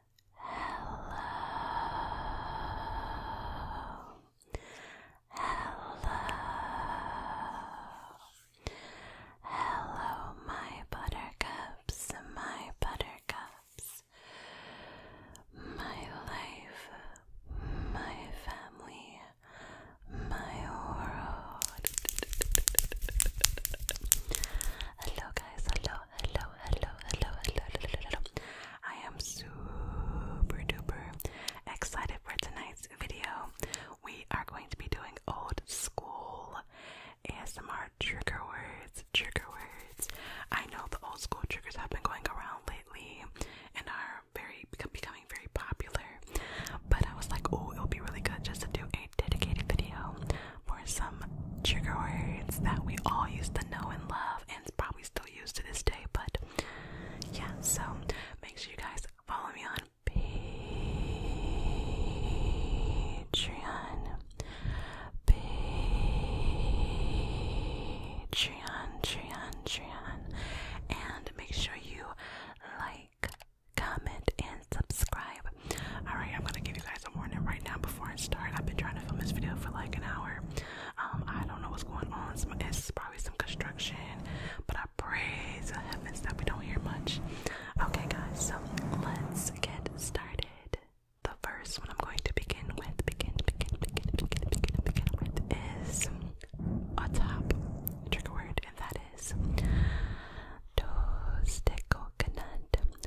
Hello. Hello. Hello, my buttercups, my buttercups. My life, my family, my world. hello, guys. Hello, hello, hello, hello, hello, hello, hello. I am super duper excited for tonight's video. We are going to be doing old school ASMR trigger words, trigger words. I know the old school triggers have been going around lately and are very becoming very popular. But I was like, oh, it would be really good just to do a dedicated video for some trigger words that we all used to know and love it's probably still used to this day, but yeah, so make sure you guys follow me on Patreon. Patreon, Patreon, Patreon. And make sure you like, comment, and subscribe. Alright, I'm gonna give you guys guys a warning right now before I start. I've been trying to film this video for like an hour. Um, I don't know what's going on. it's probably some construction, but I pray to heavens that we don't hear much. Okay, guys, so let's get started. The first one I'm going to begin with, begin, begin, begin, begin, begin, begin with is a top trigger word, and that is toasted coconut,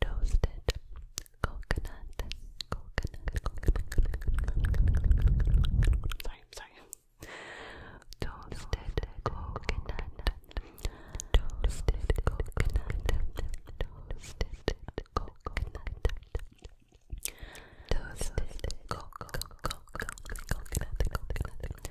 Toasted coconut, coconut, coconut. Sorry, sorry. Toasted coconut, toasted coconut, toasted coconut, toasted coconut, coconut, coconut,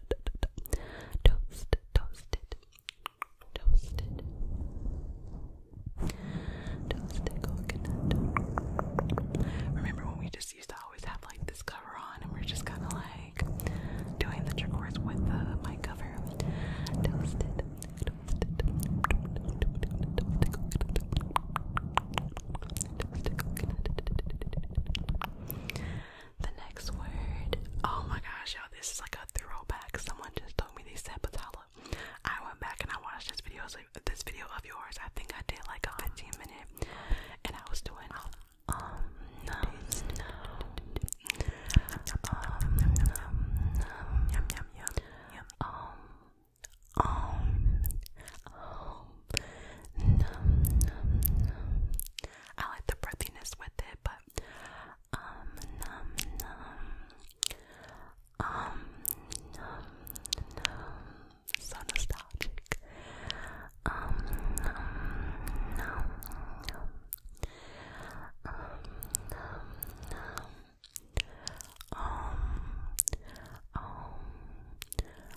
toast, toasted, toasted, toasted coconut. Remember when we just used to always have like this cover on, and we're just kind of like doing the trick words with my cover, toasted. Toasted, Toasted coconut. The next word. Oh my gosh, y'all, this is like a throwback. Someone just told me they said patella. I went back and I watched this video, this video of yours. I think I did like a 15 minute, and I was doing um Num, num, num. I like the breathiness with it, but um, num, num. Um, num, num. So nostalgic. Um, num, num, num. Um, num, num. Um, um, um, um.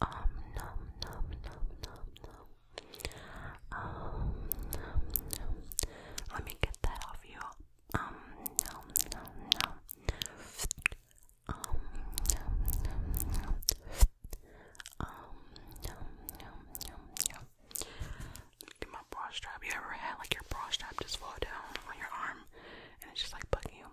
Um nom nom nom nom Um Let me get that off you. Um nom nom nom. Um nom nom nom. Um Get my bra strap. You ever had like your bra strap just fall down on your arm and it's just like bugging you?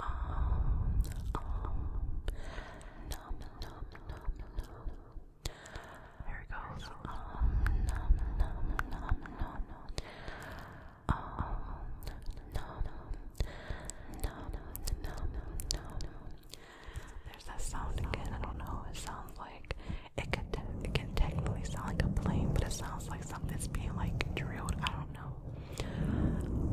Um, nom, nom, nom, nom. There it goes. Um, nom, nom, nom, nom. Um, nom, nom, nom, nom, There's that sound again. I don't know. It sounds like it could. It can technically sound like a plane, but it sounds like something's being like drilled. I don't know. Um,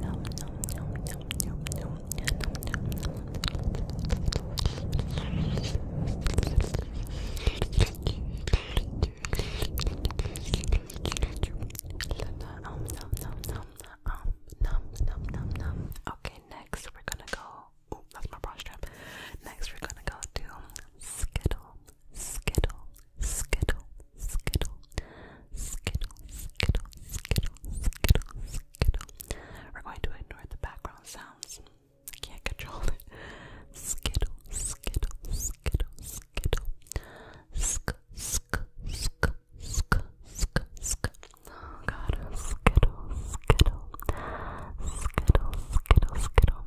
nom, nom, nom, nom, nom, nom, Okay, next we're gonna go. Oh, that's my brush strap. Next we're gonna go to Skittle skittle, skittle, skittle, skittle, skittle, skittle, skittle, skittle. We're going to ignore the background sounds. I can't control it. Skittle, skittle, skittle, skittle. Sk, sk, sk, sk, sk, sk. Oh god, skittle, skittle, skittle, skittle, skittle.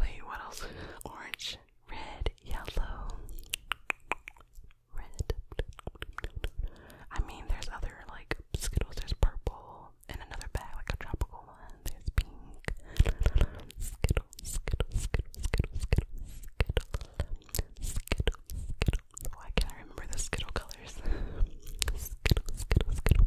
Wait, what else? Orange, red, yellow, red. I mean, there's other like Skittles. There's purple in another bag, like a tropical one. There's pink. Skittle, skittle, skittle, skittle, skittle, skittle, skittle, skittle. Oh, can't remember the skittle colors. skittle, skittle, skittle.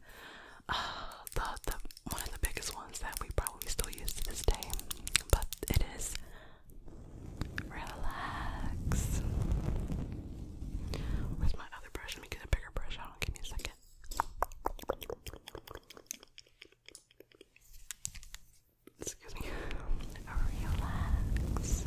uh, the, the one of the biggest ones that we probably still use to this day, but it is relax. Where's my other brush? Let me get a bigger brush out. Give me a second. Excuse me. Relax. Relax.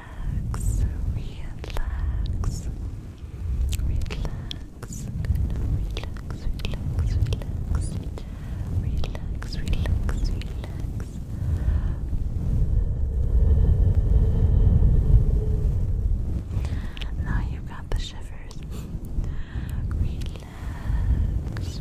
relax, relax, relax, relax, relax, relax, relax, relax, relax. Now you've got the shivers. relax, relax.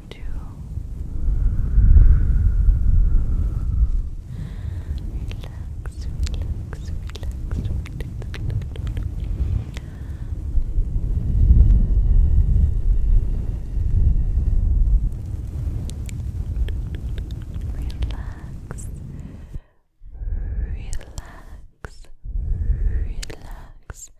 to relax, relax, relax, relax, relax, relax.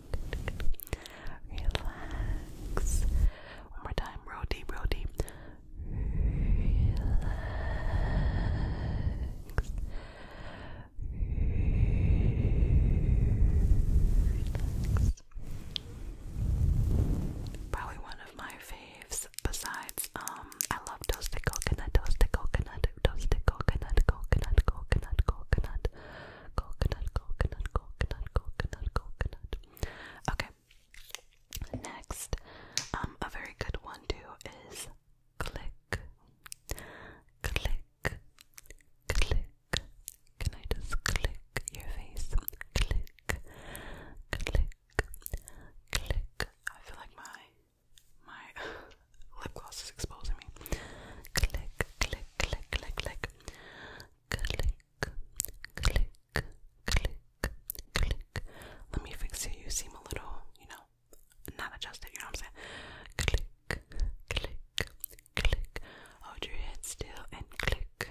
Relax. One more time. Row deep, row deep. Relax. Relax. Probably one of my faves besides um I love toasted coconut, toasted coconut, toasted coconut, coconut, coconut, coconut. coconut coconut, coconut, coconut, coconut, coconut. Okay. Next, um, a very good one too is click, click, click. Can I just click your face? Click, click, click. I feel like my my lip gloss is exposing me. Click, click, click, click, click click, click, click, click. Let me fix it. You seem a little, you know, not adjusted. You know what I'm saying? Click, click, click. Hold your head still and click.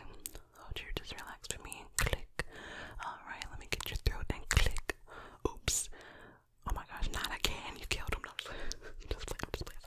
Hold your, just relax for me and click. All right, let me get your throat and click. Oops. Oh my gosh, not again. You killed him. No, I'm just playing. I'm just playing.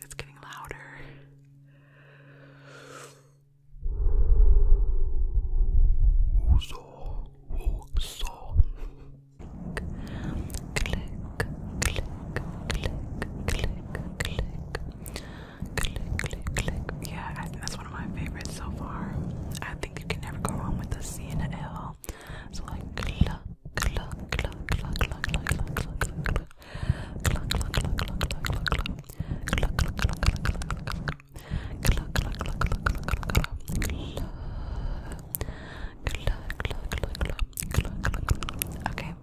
it's getting louder. So, so. Click, click, click, click, click, click, click, click. Yeah, I think that's one of my favorites so far. I think you can never go wrong with a C and an L. So like cluck, cluck, cluck, cluck, cluck, cluck, cluck, cluck, cluck, cluck, cluck, cluck, cluck, cluck, cluck, cluck. Cluck, cluck, cluck, cluck, cluck, cluck. Cluck, cluck, cluck, cluck, cluck, cluck, cluck. Cluck, cluck, cluck, cluck, cluck, cluck, cluck. Okay.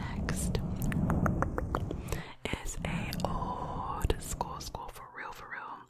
Next is a old school school for real for real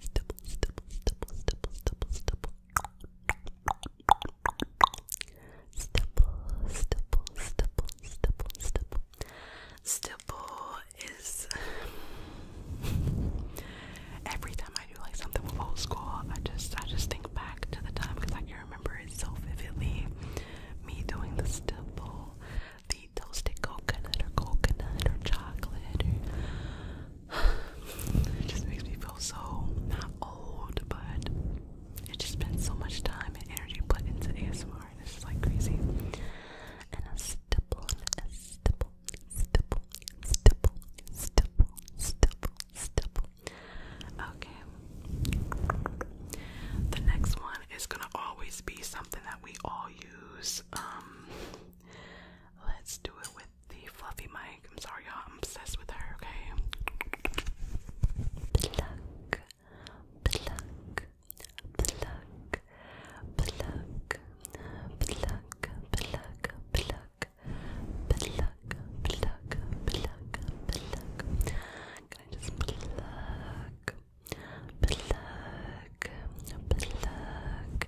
stipple, stipple, stipple, stipple, stipple, stipple. Stipple, is every time I do like something with old school, I just I just think back to the time because I can remember it so vividly. Me doing the stipple, the toasted coconut or coconut or chocolate it just makes me feel so not old, but it just been so much time and energy put into ASMR, and it's like crazy. And a stipple, a stipple, stipple, stipple, stipple, stipple, stipple. Okay. The next one is gonna always be something that we all use. Um, let's do it with the fluffy mic. I'm sorry, y'all. I'm obsessed with her, okay? Pluck, pluck, pluck, pluck, pluck, pluck, pluck. Pluck, pluck, pluck, pluck. Can I just pluck, pluck, pluck, pluck,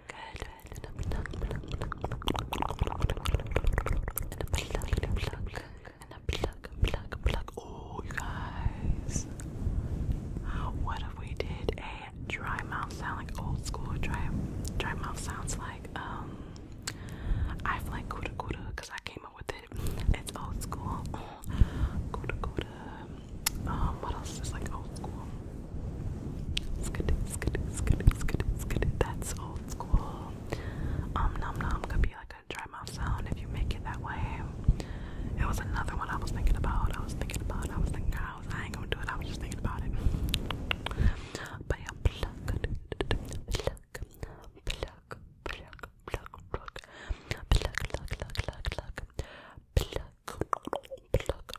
Oh, you guys. What if we did a dry mouth sound, like old school dry, dry mouth sounds like, um, I've like kuda kuda because I came up with it. It's old school. Kuda kuda. Um, what else is like old school? That's old school. Um, nom nom could be like a dry mouth sound if you make it that way. It was another one I was thinking about. I was thinking about. I was thinking. I was. I ain't gonna do it. I was just thinking about it. But yeah, pluck, pluck, pluck, pluck, pluck, pluck, pluck, pluck, pluck, pluck, pluck, pluck, pluck,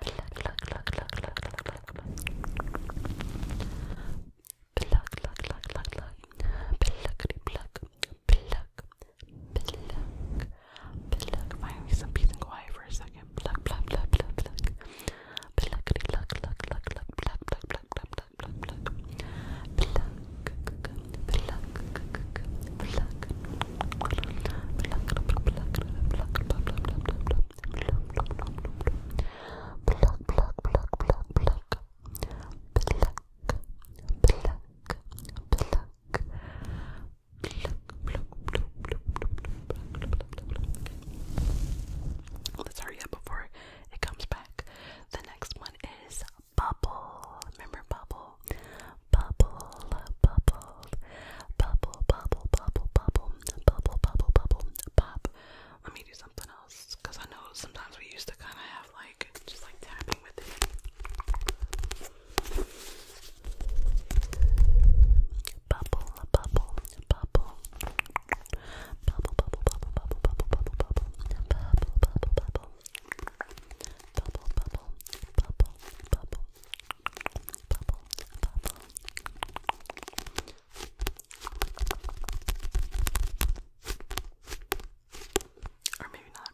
Pluck, pluck, pluck, pluck, pluck, pluck, pluck. Pluck, pluck, pluck, pluck, pluck. Pluckity, pluck, pluck, pluck, pluck. Might need some peace and quiet for a second. Pluck, pluck, pluck, pluck, pluck. Pluckity, pluck, pluck, pluck, pluck, pluck, pluck, pluck, pluck, pluck, pluck, pluck. Pluck, pluck, pluck, pluck, pluck. Let's hurry up before it comes back. The next one is bubble. Remember bubble? Bubble, bubble, called Bubble, Bubble, Bubble, Bubble, Bubble, Bubble, Bubble, Pop. Let me do something else because I know sometimes we used to kind of have like just like tapping with it. Bubble, Bubble, Bubble. Bubble, bubble, bubble, bubble, bubble, bubble, bubble, bubble, bubble, bubble, bubble, bubble, bubble, bubble, or maybe not.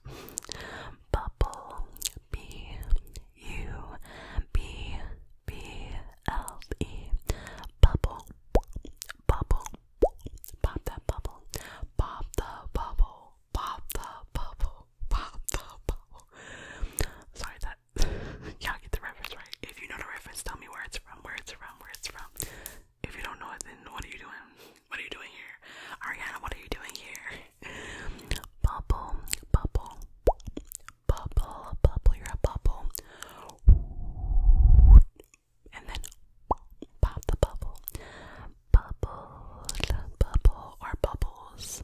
Bubble B U B B L E Bubble Bubble Pop that bubble Pop the bubble Pop the bubble Pop the bubble Sorry that Y'all get the reference right. If you know the reference, tell me where it's from, where it's from, where it's from. If you don't know it, then what are you doing? What are you doing here? Ariana, what are you doing here? Bubble, bubble, bubble, bubble, you're a bubble. And then pop the bubble. Bubble, bubble, or bubbles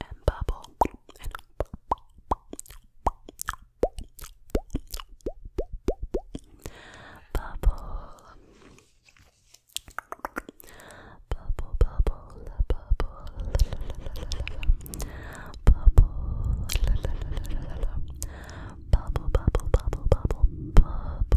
and bubble and bubble bubble bubble bubble bubble bubble bubble bubble bubble bubble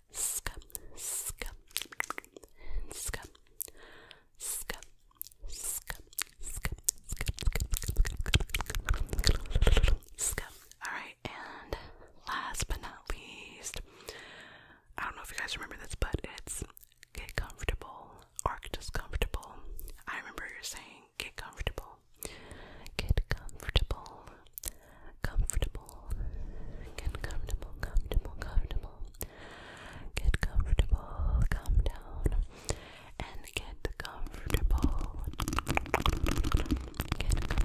scum, scum, scum, scum, scum, scum, scum, scum. Alright, and last but not least, I don't know if you guys remember this, but it's get comfortable or just comfortable. I remember you're saying get comfortable comfortable. Get comfortable. Comfortable. Get comfortable, comfortable, comfortable. Get comfortable. Calm down. And get comfortable, get comfortable,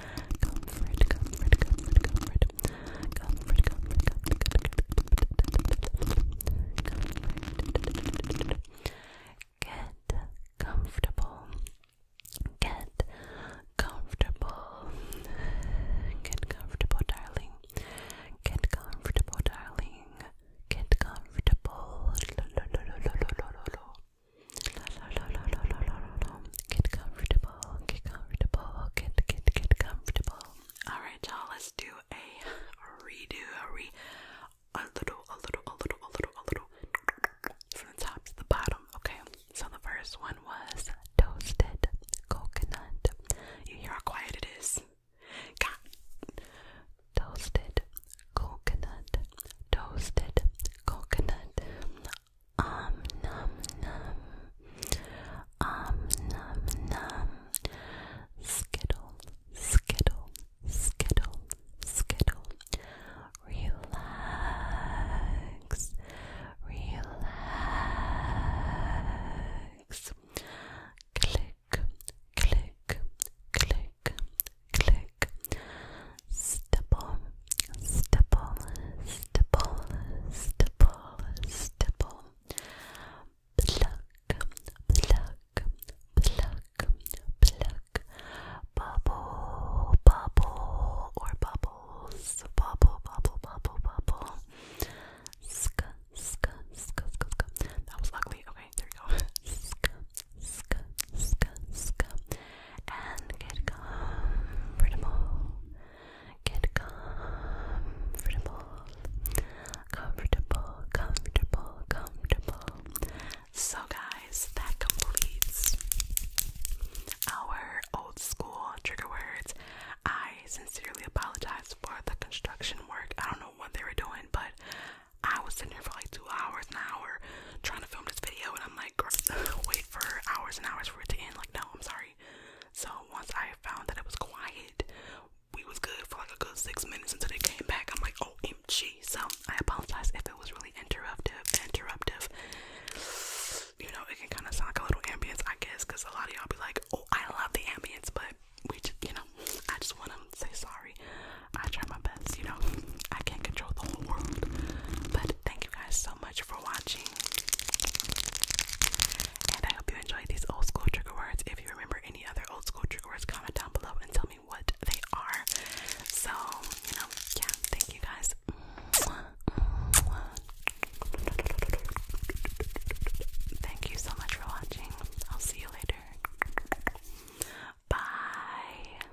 Get comfortable. Get comfortable. Get comfortable, darling. Get comfortable, darling. Get comfortable. La, la, la, la, la, la, la, la. Get comfortable, get comfortable, get get get comfortable. Alright y'all, let's do a redo, a re a little, a little, a little, a little, a little from the top to the bottom. Okay. So the first one was toasted coconut. You hear how quiet it is? God. Toasted coconut. Toasted coconut um num num um num num skittle skittle skittle skittle relax relax click click click click stipple, stipple, stipple, stipple, stipple, pluck, pluck, pluck, pluck, bubble, bubble, or bubbles, bubble, bubble, bubble, bubble, sk, sk, sk, sk, sk. That was ugly. Okay, there we go. Sk, sk, sk, sk and get comfortable. Get comfortable. Comfortable, comfortable, comfortable. So, guys, that completes our old school trigger words. I sincerely apologize for the construction work. I don't know what they were doing, but I was sitting here for like two hours, an hour, trying to film this video and I'm like wait for hours and hours for it to end like no I'm sorry so once I found that it was quiet we was good for like a good six minutes until they came back I'm like oh MG so I apologize if it was really interruptive interruptive you know it can kind of sound like a little ambience I guess because a lot of y'all be like oh I love the ambience but we just you know I just want to say sorry I try my best you know I can't control the whole world but Thank you guys so much for watching. And I hope you enjoyed these old school trigger words. If you remember any other old school trigger words, comment down below and tell me what they are. So, you know, yeah, thank you guys. Thank you so much for watching. I'll see you later. Bye.